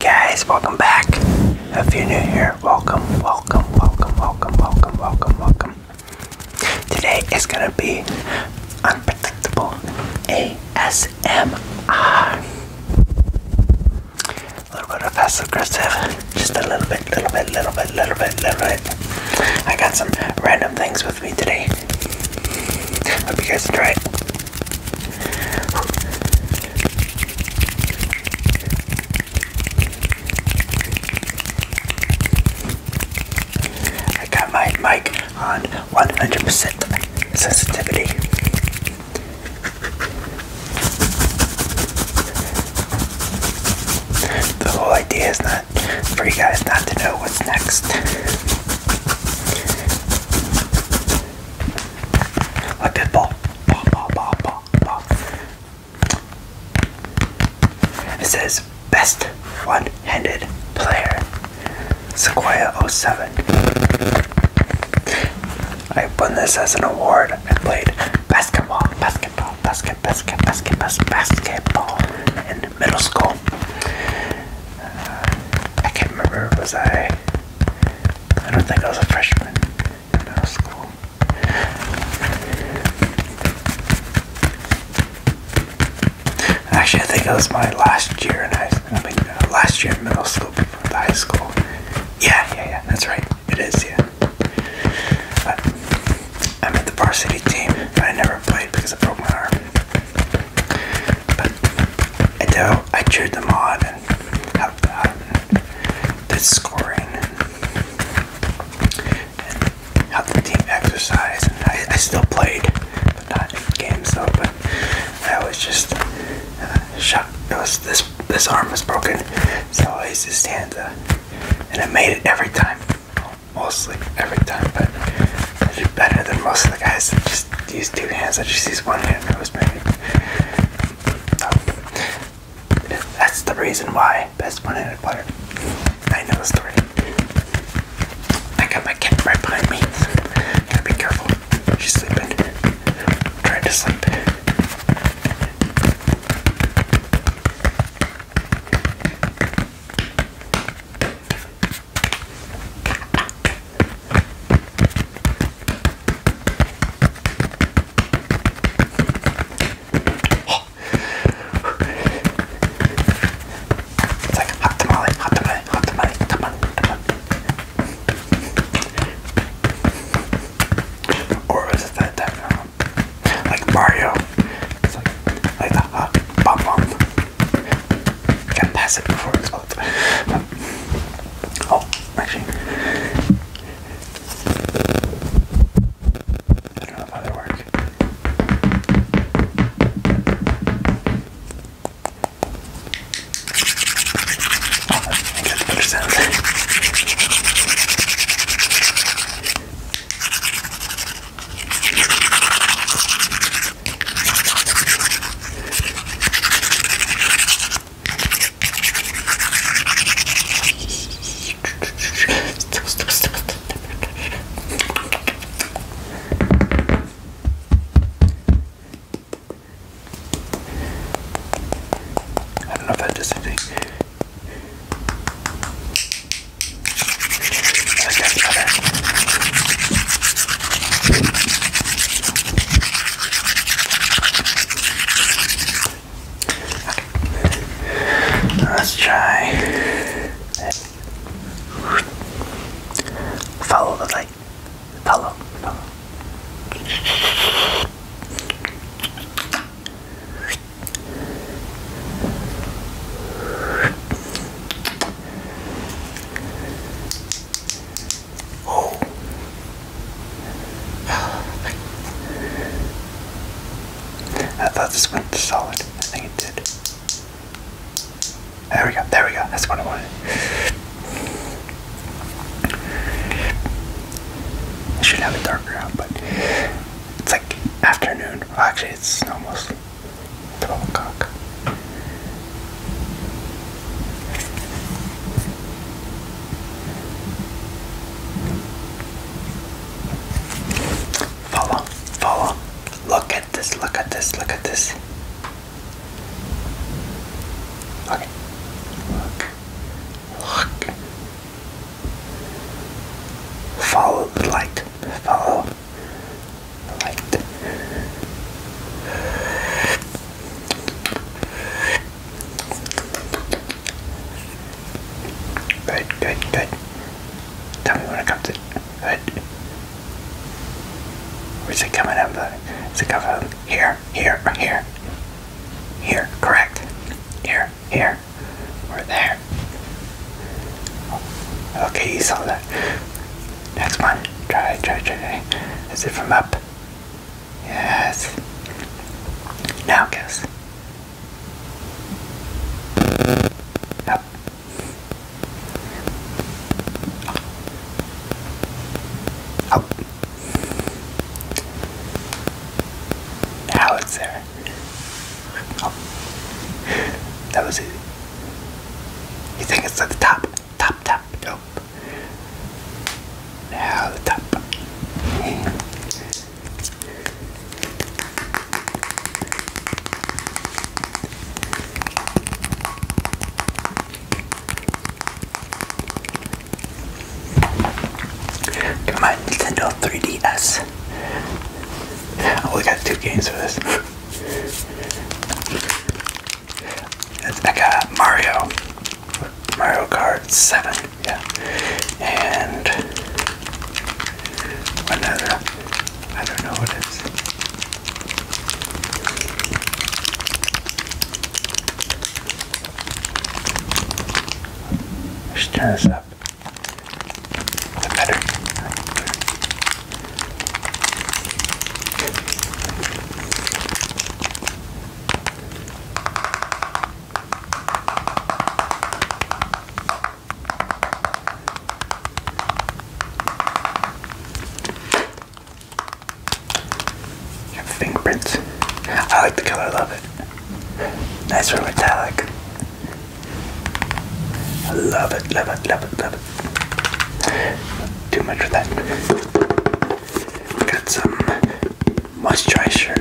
Guys, welcome back. If you're new here, welcome, welcome, welcome, welcome, welcome, welcome, welcome. Today is gonna be unpredictable ASMR. A little bit of passive aggressive, just a little bit, little bit, little bit, little bit, little bit. I got some random things with Hope you guys enjoy I got my mic on 100 sensitivity. The whole idea is not for you guys not to know what's next. Like that ball. Ball, ball, ball, ball, ball. It says best one-handed player. Sequoia 07. I won this as an award. I played basketball, basketball, basket, basket, basket, basket basketball in middle school. Uh, I can't remember, was I. I don't think I was a freshman in middle school. Actually, I think it was my last year in high school. I mean, uh, last year in middle school before high school. Yeah, yeah, yeah, that's right. It is, yeah. But I'm at the varsity team, but I never played because I broke my arm. But I cheered them on and helped that and did scoring and, the team exercise. And I, still played, but not in games though. But I was just uh, shocked. It was this this arm was broken, so I used his hand, uh, and I made it every time mostly every time, but I did better than most of the guys that just use two hands. I just use one hand, and was maybe. So, um, that's the reason why best one-handed player. I know the story. I got my cat right behind me. Gotta be careful. She's sleeping. Trying to sleep. It's like hot tamale, hot tamale, hot tamale, tamale, tamale. Or was it that time? Um, like Mario, it's like, like that, huh? Bum bum. Can't pass it before it's out. Oh, actually. I don't know if that'll work. Oh, I get better sound. Stop, stop, stop, stop. I don't know if that does anything. Let's try. Follow the light. Follow. Follow. Oh. I thought this went solid. I think it did. There we go. There we go. That's what I wanted. I should have it darker out, but it's like afternoon. actually, it's almost 12 o'clock. Follow, follow. Look at this, look at this, look at this. Look. Look. Follow the light follow the light. Good, good, good. Tell me when it comes in. Good. Where's it coming up? Is it coming up? Here, here, here? Here, correct. Here there, here, or there. Okay, you saw that. Next one. Try, try, try. Is it from up? Yes. Now guess. Up. Up. Now it's there oh. That was it. You think it's at the top? Top, top, nope. Now the top. my Nintendo 3DS. I oh, only got two games for this. I got Mario. Mario Kart 7, yeah. And another, I don't know what it is. Let's turn this up fingerprints. I like the color, I love it. Nice for metallic. love it, love it, love it, love it. Too much of that. Got some moisturizer,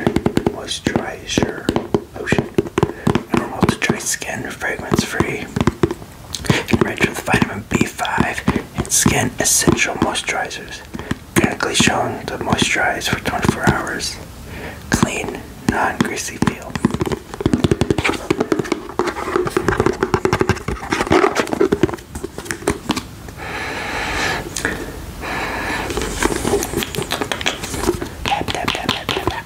moisturizer lotion. Normal to dry skin, fragrance free. Enriched with vitamin B5 and skin essential moisturizers clinically shown to moisturize for 24 hours. Clean, non greasy feel. Tap, tap, tap, tap, tap, tap.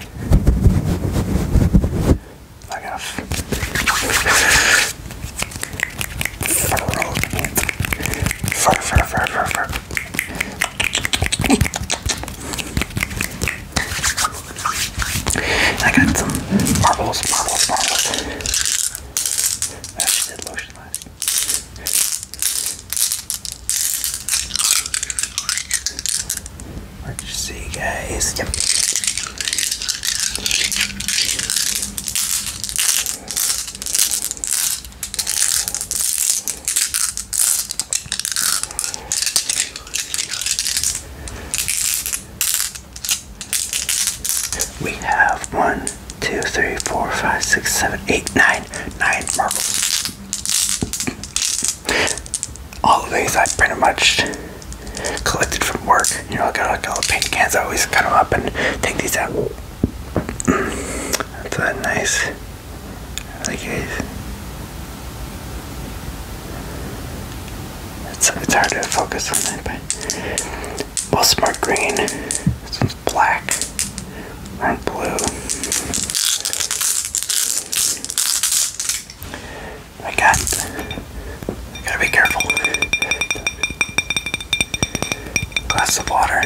I got fur, fur, fur, fur, fur. I got some marbles, marbles, marbles. I actually did lotion last. Let's see, guys. We have one, two, three, four, five, six, seven, eight, nine, nine marbles all of these I pretty much collected from work. You know, I got like all the paint cans. I always cut them up and take these out. That's that nice. I It's, it's hard to focus on that, but well, smart green. This one's black. Or blue. I got. I gotta be careful. Glass of water.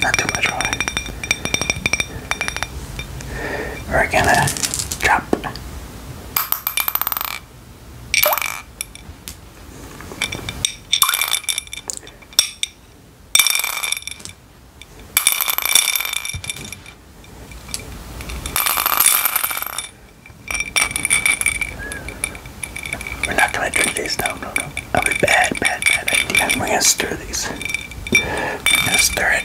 Not too much water. We're gonna drop. We're not gonna drink these. No, no, no. That would be bad, bad, bad idea. We're gonna stir these. We're gonna stir it.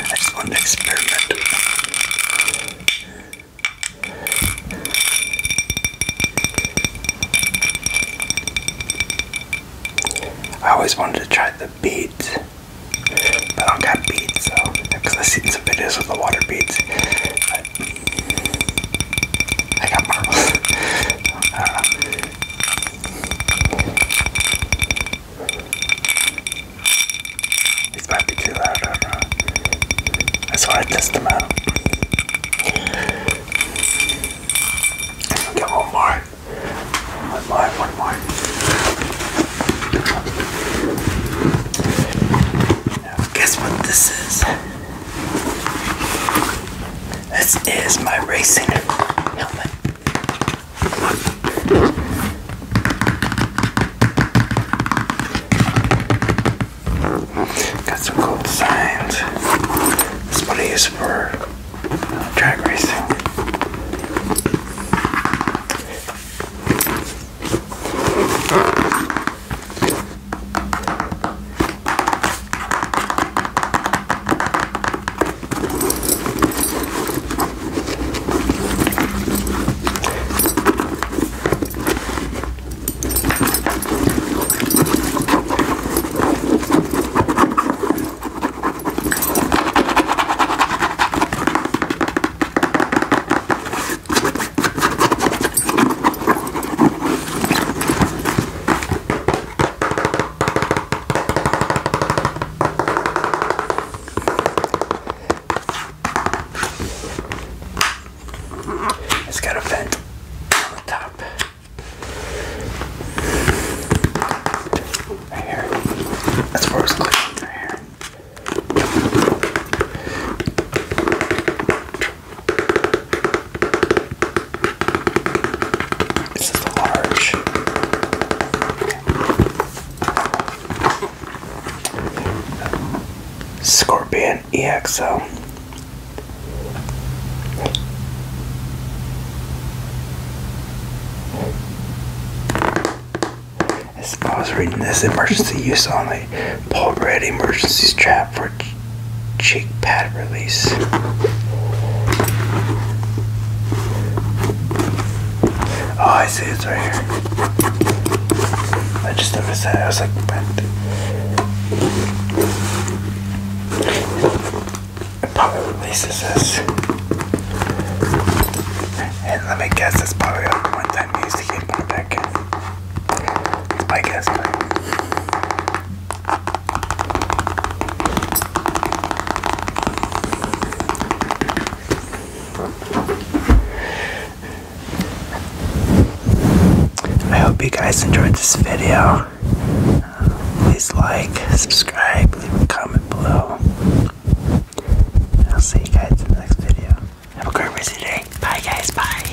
I just want to experiment. I always wanted to try the beads. But I don't got beads, so because I've seen some videos with the water beads. But I got marbles. Uh, I don't don't That's why I test them out. Get one more. One more, one more. Now, guess what this is? This is my racing helmet. Got some cool signs. This is what I use for uh, drag racing. It's got a vent on the top. That's where it's clean. This is large. Scorpion EXO. As I was reading this, emergency use only. pull Red emergency strap for cheek pad release. Oh, I see it's right here. I just noticed that. I was like, it probably releases this. And let me guess, it's probably like one time use to get put back in. It's my guess, but. I hope you guys enjoyed this video. Please like, subscribe, leave a comment below. I'll see you guys in the next video. Have a great rest of day. Bye, guys. Bye.